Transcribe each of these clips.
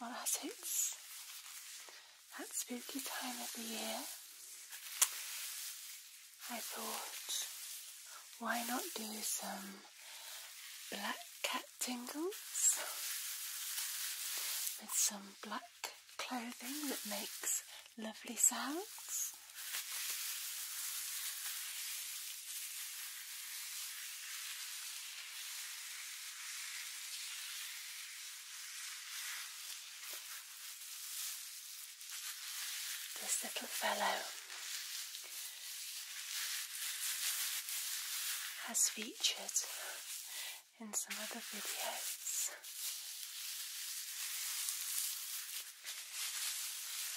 Well, as it's that spooky time of the year, I thought, why not do some black cat tingles with some black clothing that makes lovely sounds? This little fellow has featured in some other videos,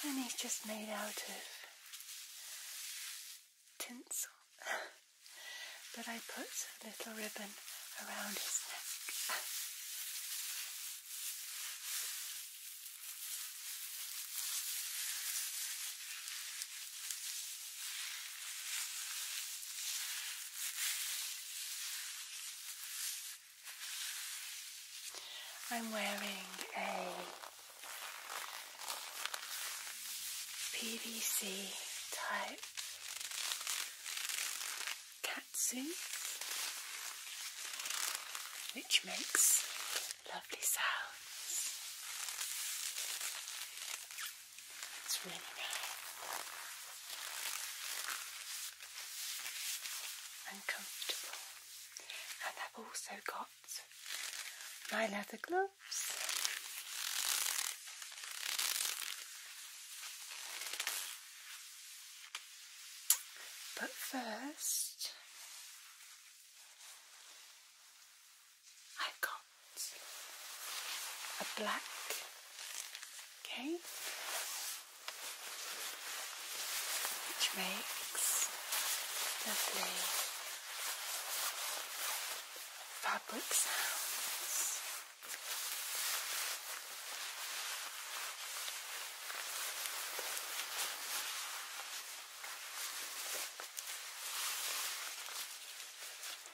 and he's just made out of tinsel. but I put a little ribbon around his neck. I'm wearing a PVC type catsuit, which makes lovely sounds. It's really nice and I've also got my leather glove. But first, got a black cake, which makes the lovely fabric sounds.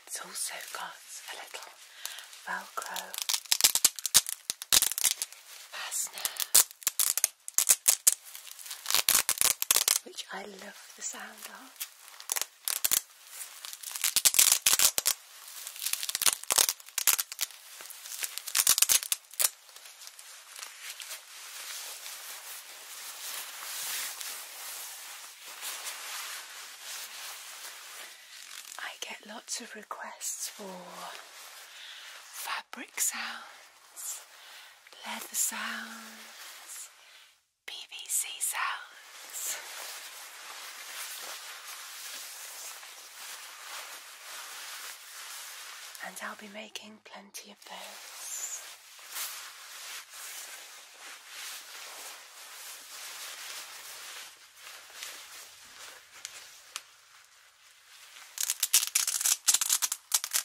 It's also got a little Velcro fastener which I love the sound of. I get lots of requests for fabric sounds sounds. Leather sounds. BBC sounds. And I'll be making plenty of those.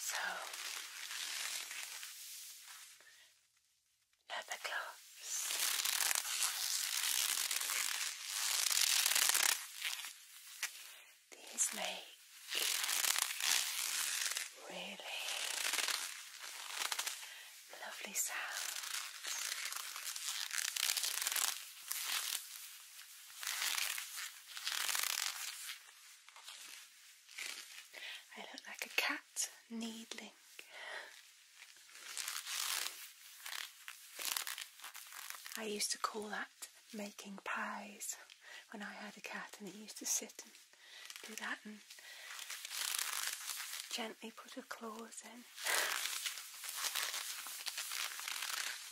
So, leather gloves. These make really lovely sounds. I look like a cat needling. I used to call that making pies when I had a cat, and it used to sit and do that and gently put her claws in.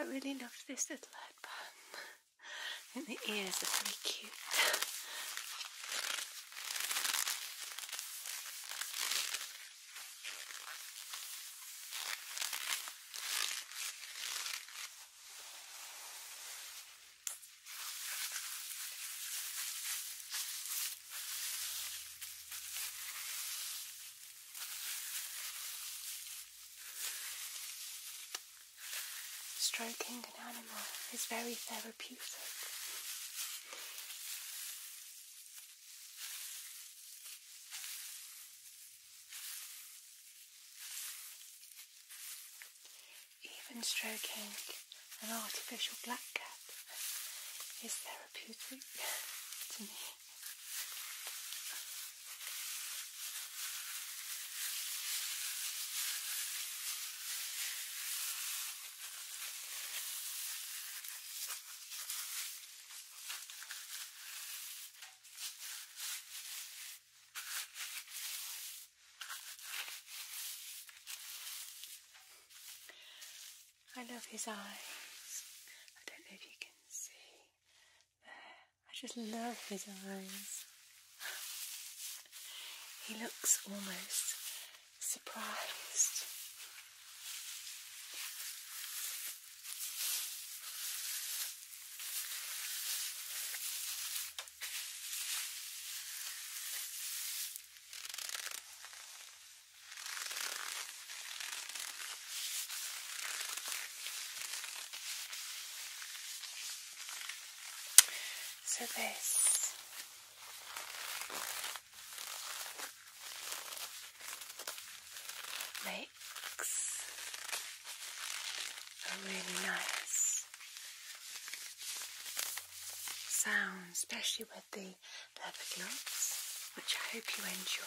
I really love this little headband. I think the ears are very cute. Striking being an animal is very therapeutic. Even stroking an artificial black cat is therapeutic to me. I love his eyes. I don't know if you can see there. I just love his eyes he looks almost surprised. So, this makes a really nice sound, especially with the leather gloves, which I hope you enjoy.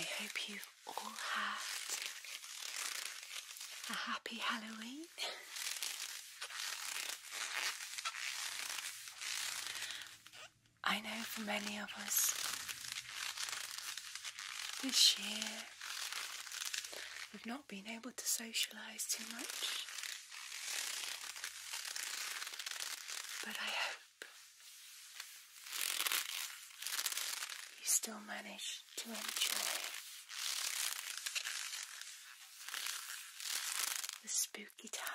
I hope you all had a happy Halloween. I know for many of us, this year we've not been able to socialise too much. But I hope you still manage to enjoy the spooky times.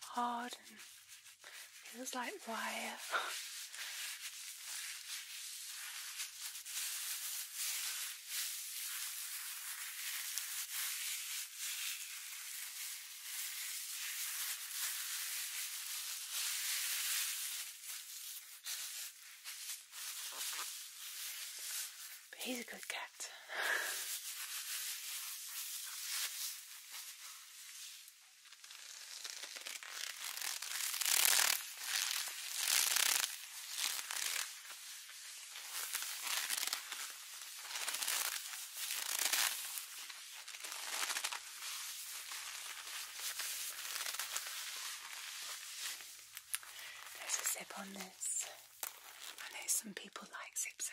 hard and feels like wire. but he's a good cat. There's a zip on this. I know some people like zip sounds.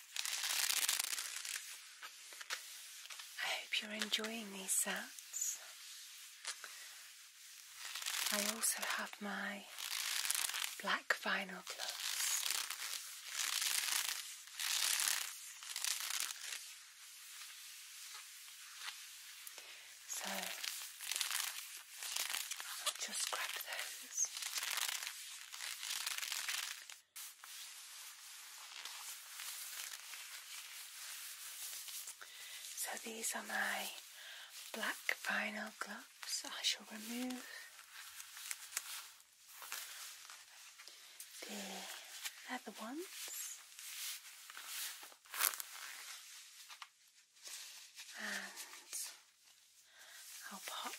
I hope you're enjoying these sounds. I also have my black vinyl gloves. So I'll just grab those. So these are my black vinyl gloves. I shall remove the other ones and I'll pop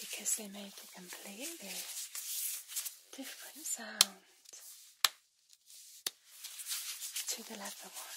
because they make a completely different sound to the leather one.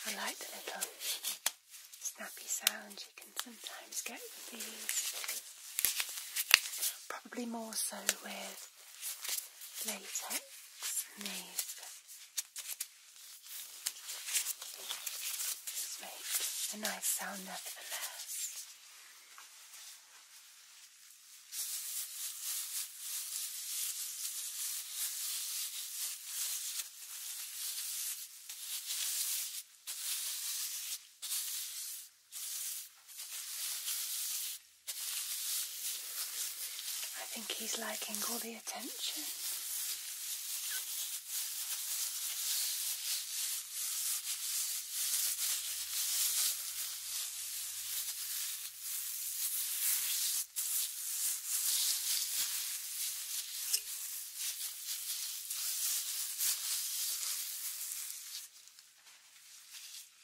I like the little snappy sounds you can sometimes get with these. Probably more so with latex and these. a nice sound nevertheless. I think he's liking all the attention.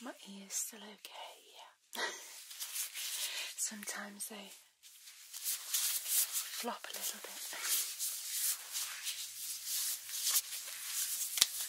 My ear's still okay, yeah. Sometimes they flop a little bit.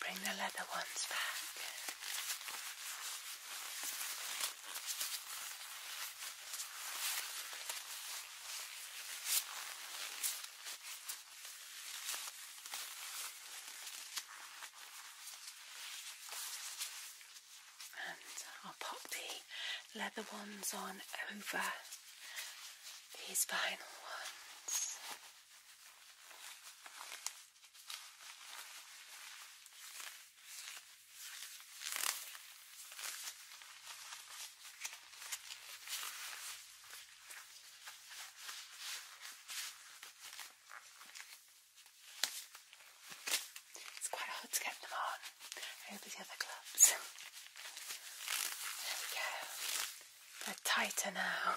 Bring the leather ones back. And I'll pop the leather ones on over these vinyl ones. It's quite hard to get them on over the other gloves. There we go. They're tighter now.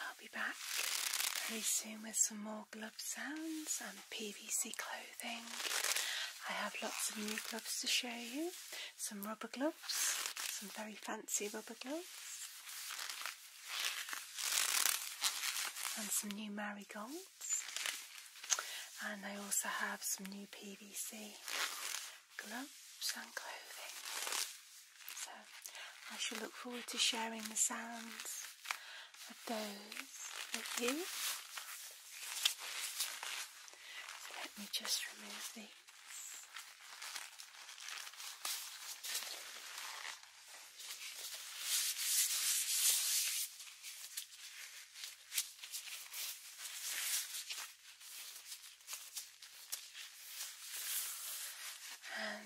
I'll be back very soon with some more glove sounds and PVC clothing. I have lots of new gloves to show you, some rubber gloves, some very fancy rubber gloves, and some new marigolds. And I also have some new PVC gloves and clothing. So I shall look forward to sharing the sounds of those with you. let me just remove these. And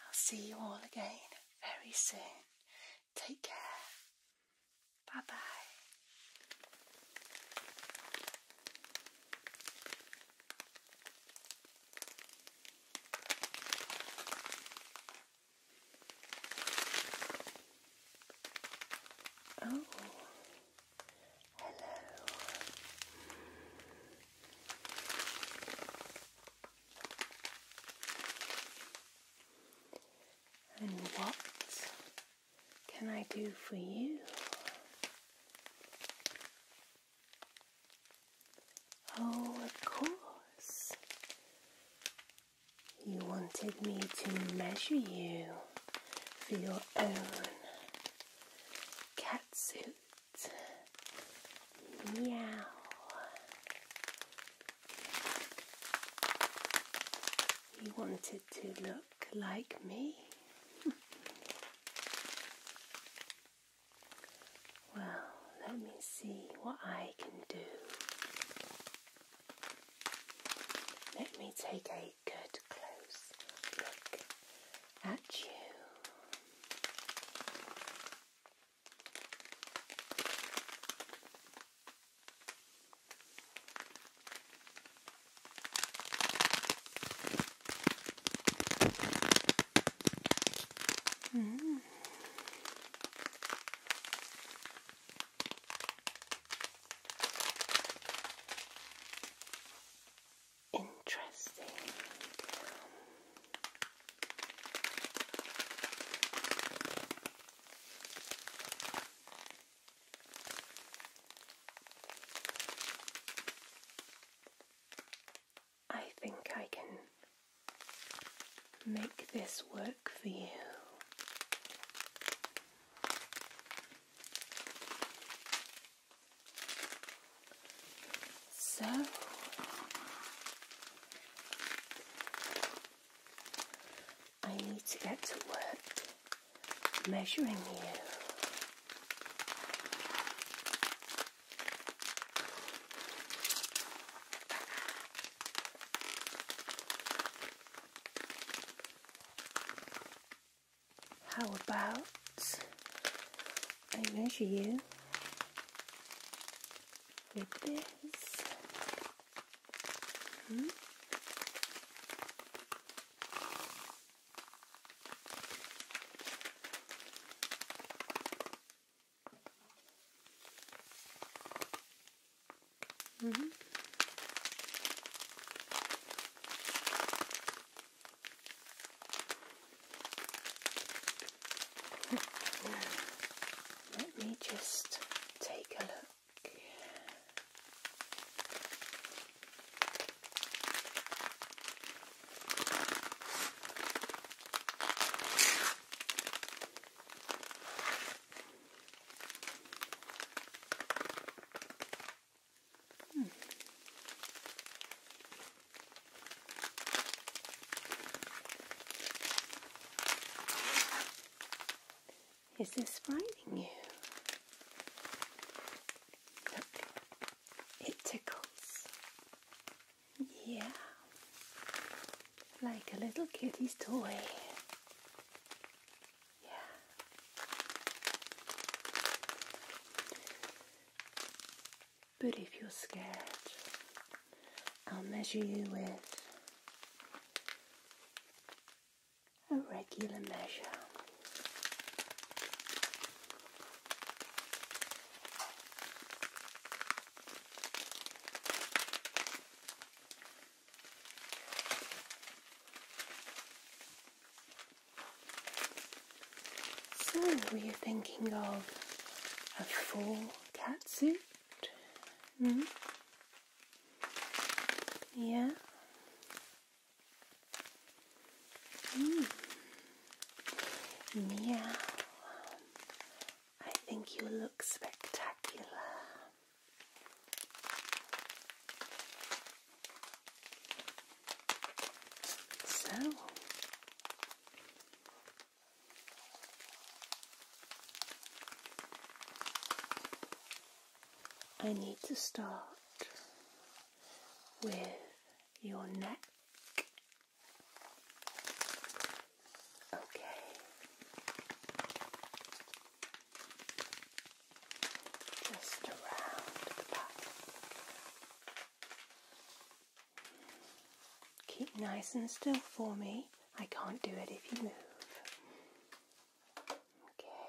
I'll see you all again very soon. Take care. Bye bye. Oh, hello. And what can I do for you? Oh, of course. You wanted me to measure you for your own catsuit. Meow. You wanted to look like me. Well, let me see what I can do. Let me take a good close look at you. Mm. Interesting. I think I can make this work for you. So I need to get to work measuring you. How about I measure you with this? Hmm? Mm-hmm. Let me just take a look. Hmm. Is this frightening you? it tickles. Yeah, like a little kitty's toy. Yeah. But if you're scared, I'll measure you with a regular measure. So, were you thinking of a full cat suit? -hmm. Yeah. Mm. Meow. I think you look spectacular. So, I need to start with your neck Okay. Just around the back. Keep nice and still for me. I can't do it if you move. Okay.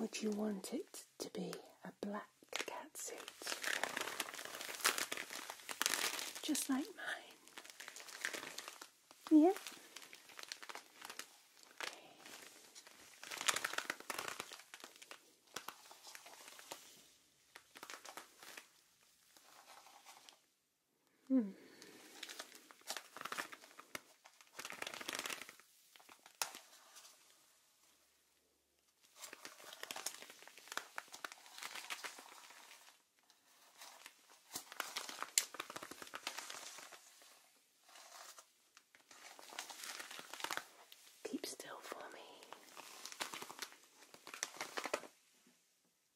would you want it to be a black cat suit, Just like mine. Yeah? Hmm. Keep still for me.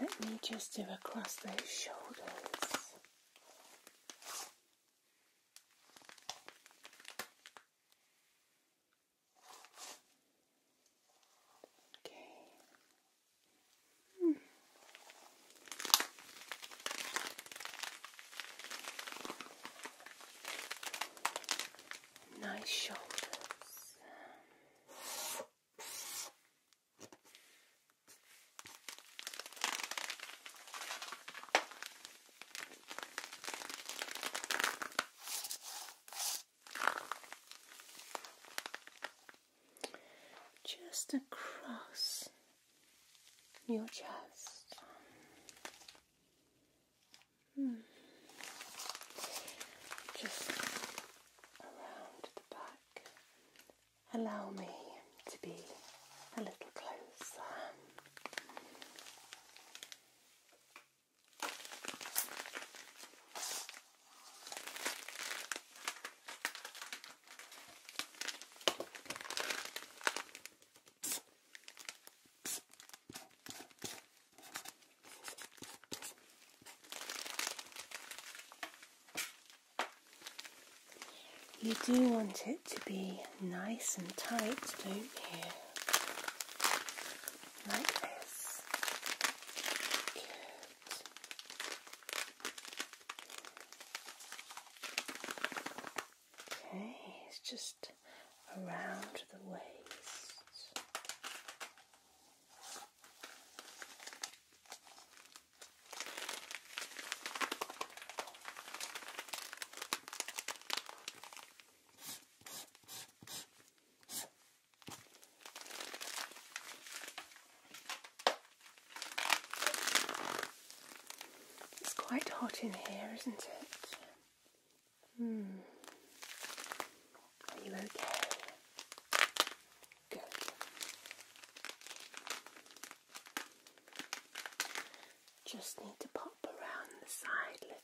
Let me just do across those shoulders. Okay. Hmm. Nice shoulders. Just across your chest. Hmm. Just around the back. Allow me to be a little closer. You do want it to be nice and tight, don't you? Like this. Good. Okay, it's just around the waist. It's quite hot in here, isn't it? Hmm. Are you okay? Good. Just need to pop around the side little.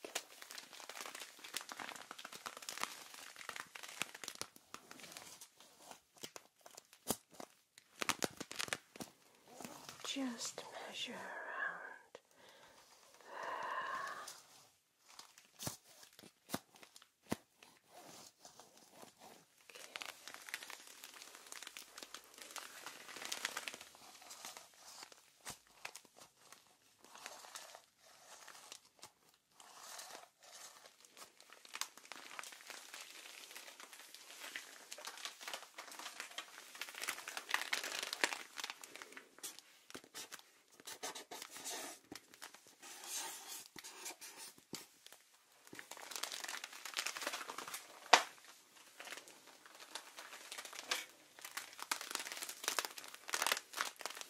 Just measure around there. Okay.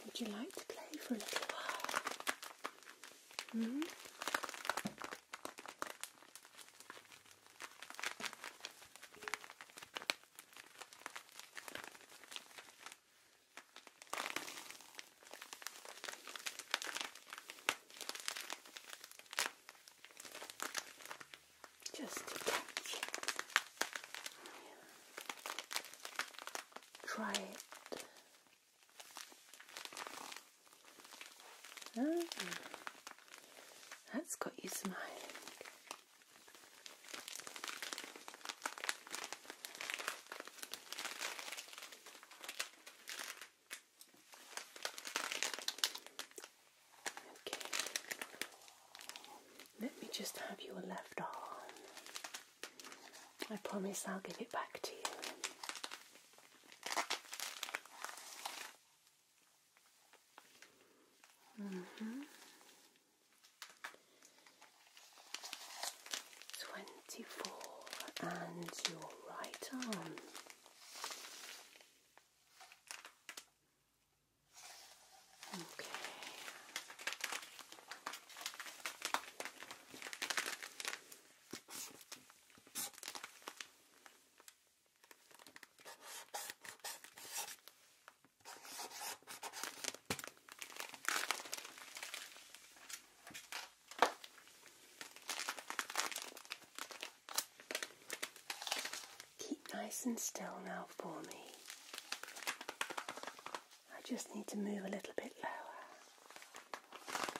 Would you like to play for a little while? Mm -hmm. Just to catch. Try it. Oh, that's got you smiling. Okay. Let me just have your left arm. I promise I'll give it back to you. Twenty mm-hmm. four and your right arm. Okay. Keep nice and still now for me. I just need to move a little bit lower.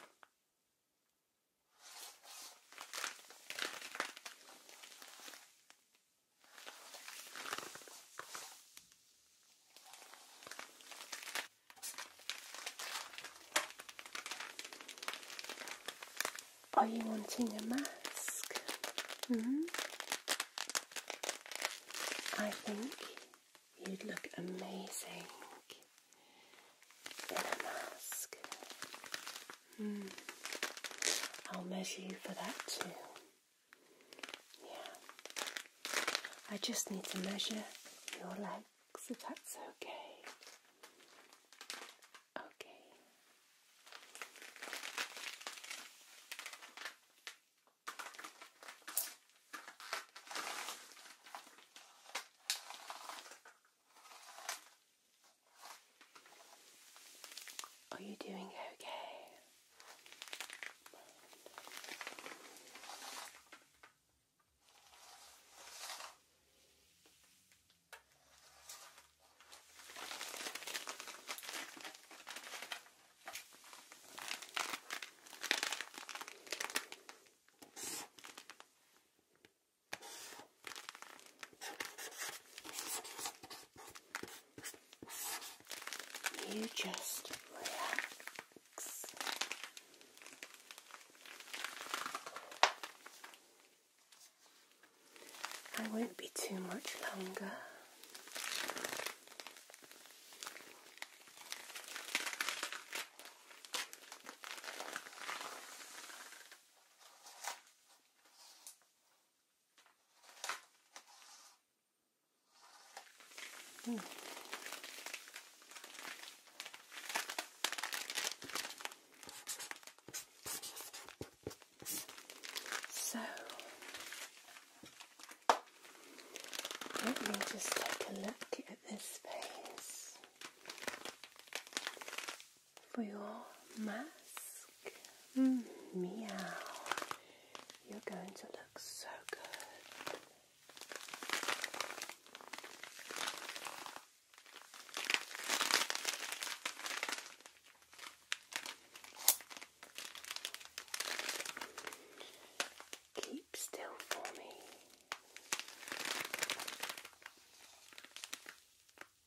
Are you wanting a mask? Hmm? I think you'd look amazing in a mask. Mm. I'll measure you for that too. Yeah. I just need to measure your legs if that's okay. Okay. Are you doing okay? You just relax. I won't be too much longer. So let me just take a look at this piece for your mask. Mm, meow. You're going to look so good. Keep still for me.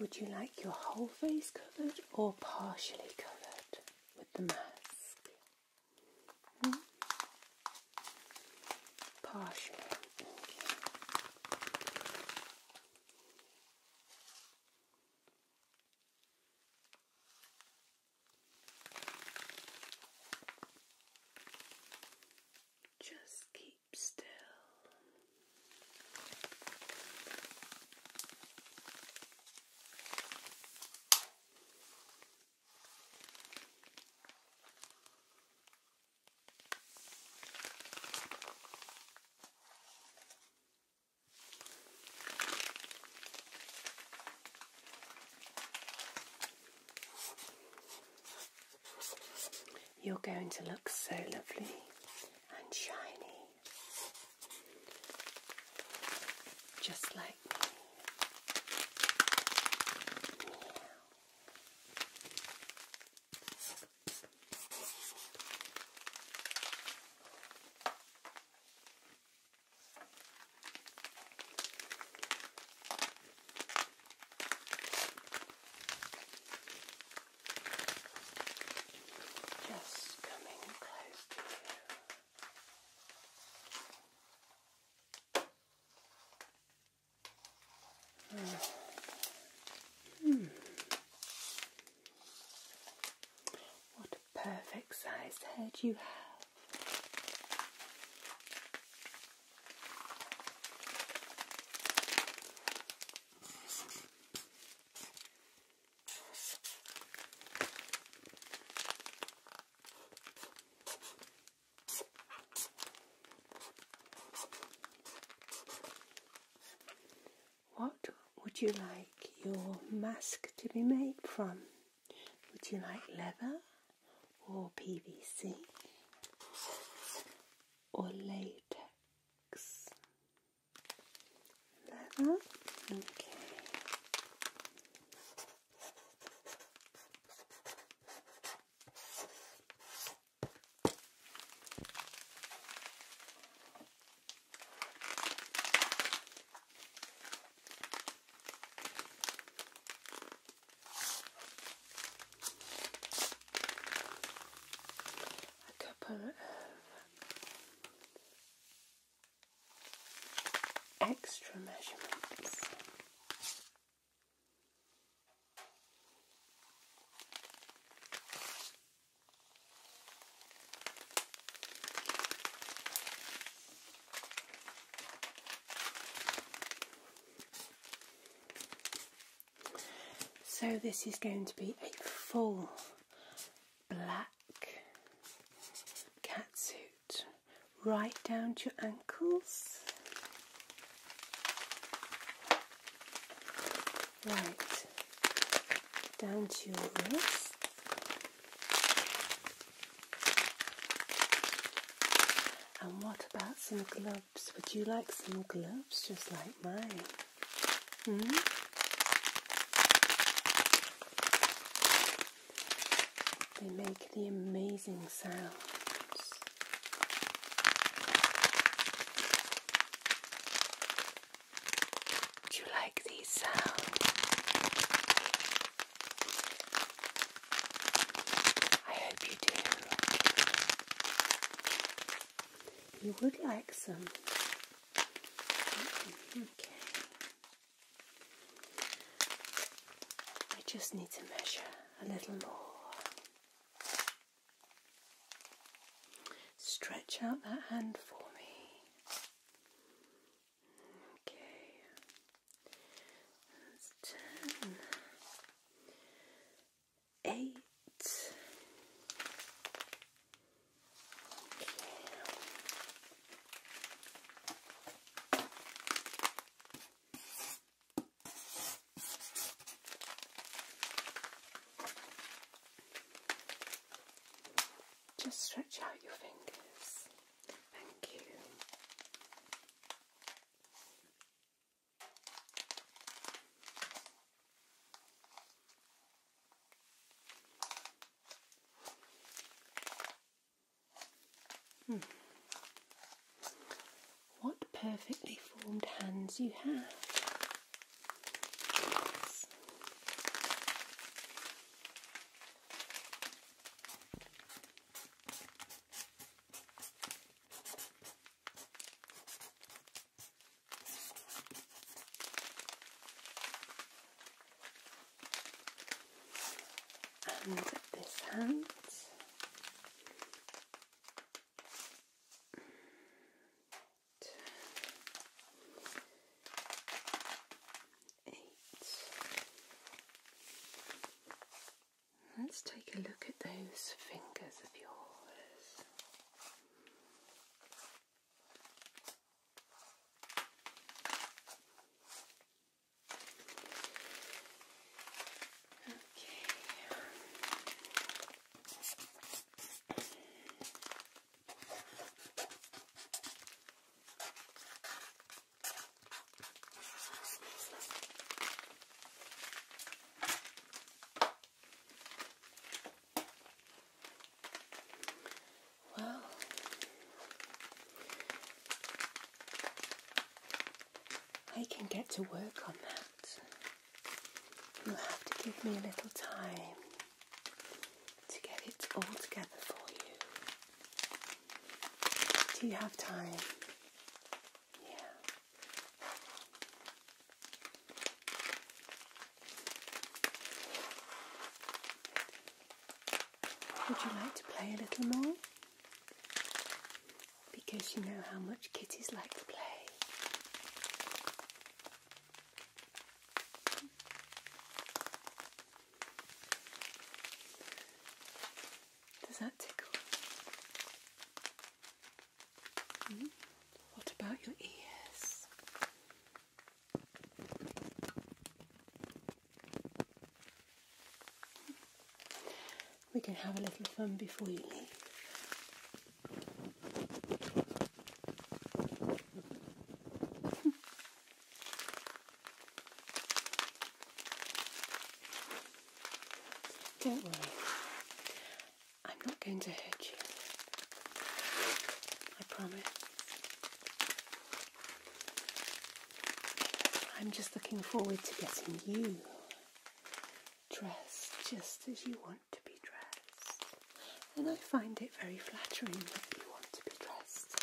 Would you like your whole face covered or partially covered with the mask? Hmm? Partially. Okay. Just keep still. You're going to look so lovely and shiny, just like me. Just coming close Hmm. What a perfect size head you have. What would you like your mask to be made from? Would you like leather or PVC or latex leather. Okay a couple of extra measurements. So this is going to be a full black cat suit, right down to your ankles. Right, down to your wrists. And what about some gloves? Would you like some gloves just like mine? Hmm? They make the amazing sounds. Do you like these sounds? I hope you do You would like some. Mm-hmm, okay. I just need to measure a little more. Stretch out that hand for me. Okay. That's ten eight. Just stretch out your fingers. Thank you. Hmm. What perfectly formed hands you have. And this hand. Eight. Let's take a look at those fingers of yours. Okay. Well, I can get to work on that. You'll have to give me a little time to get it all together for you. Do you have time? Would you like to play a little more? Because you know how much kitties like to play. Does that tickle? Hmm? What about your ears? Hmm. We can have a little fun before you leave. Hmm. Don't worry, I'm not going to hurt you. I promise. I'm just looking forward to getting you dressed just as you want to be dressed. And I find it very flattering that you want to be dressed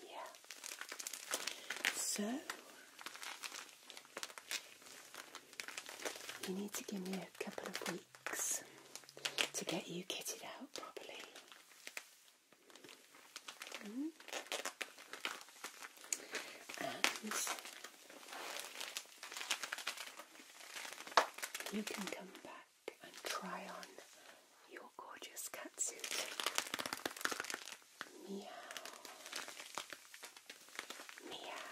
yeah. So you need to give me a couple of weeks to get you kitted out properly. Hmm? And you can come back and try on your gorgeous catsuit. Meow. Meow.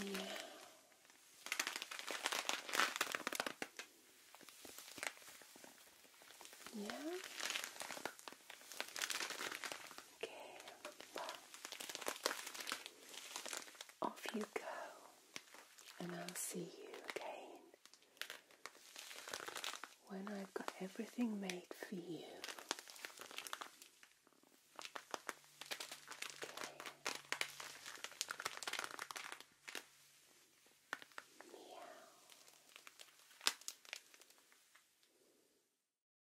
Meow. Yeah. Off you go, and I'll see you again when I've got everything made for you. Meow.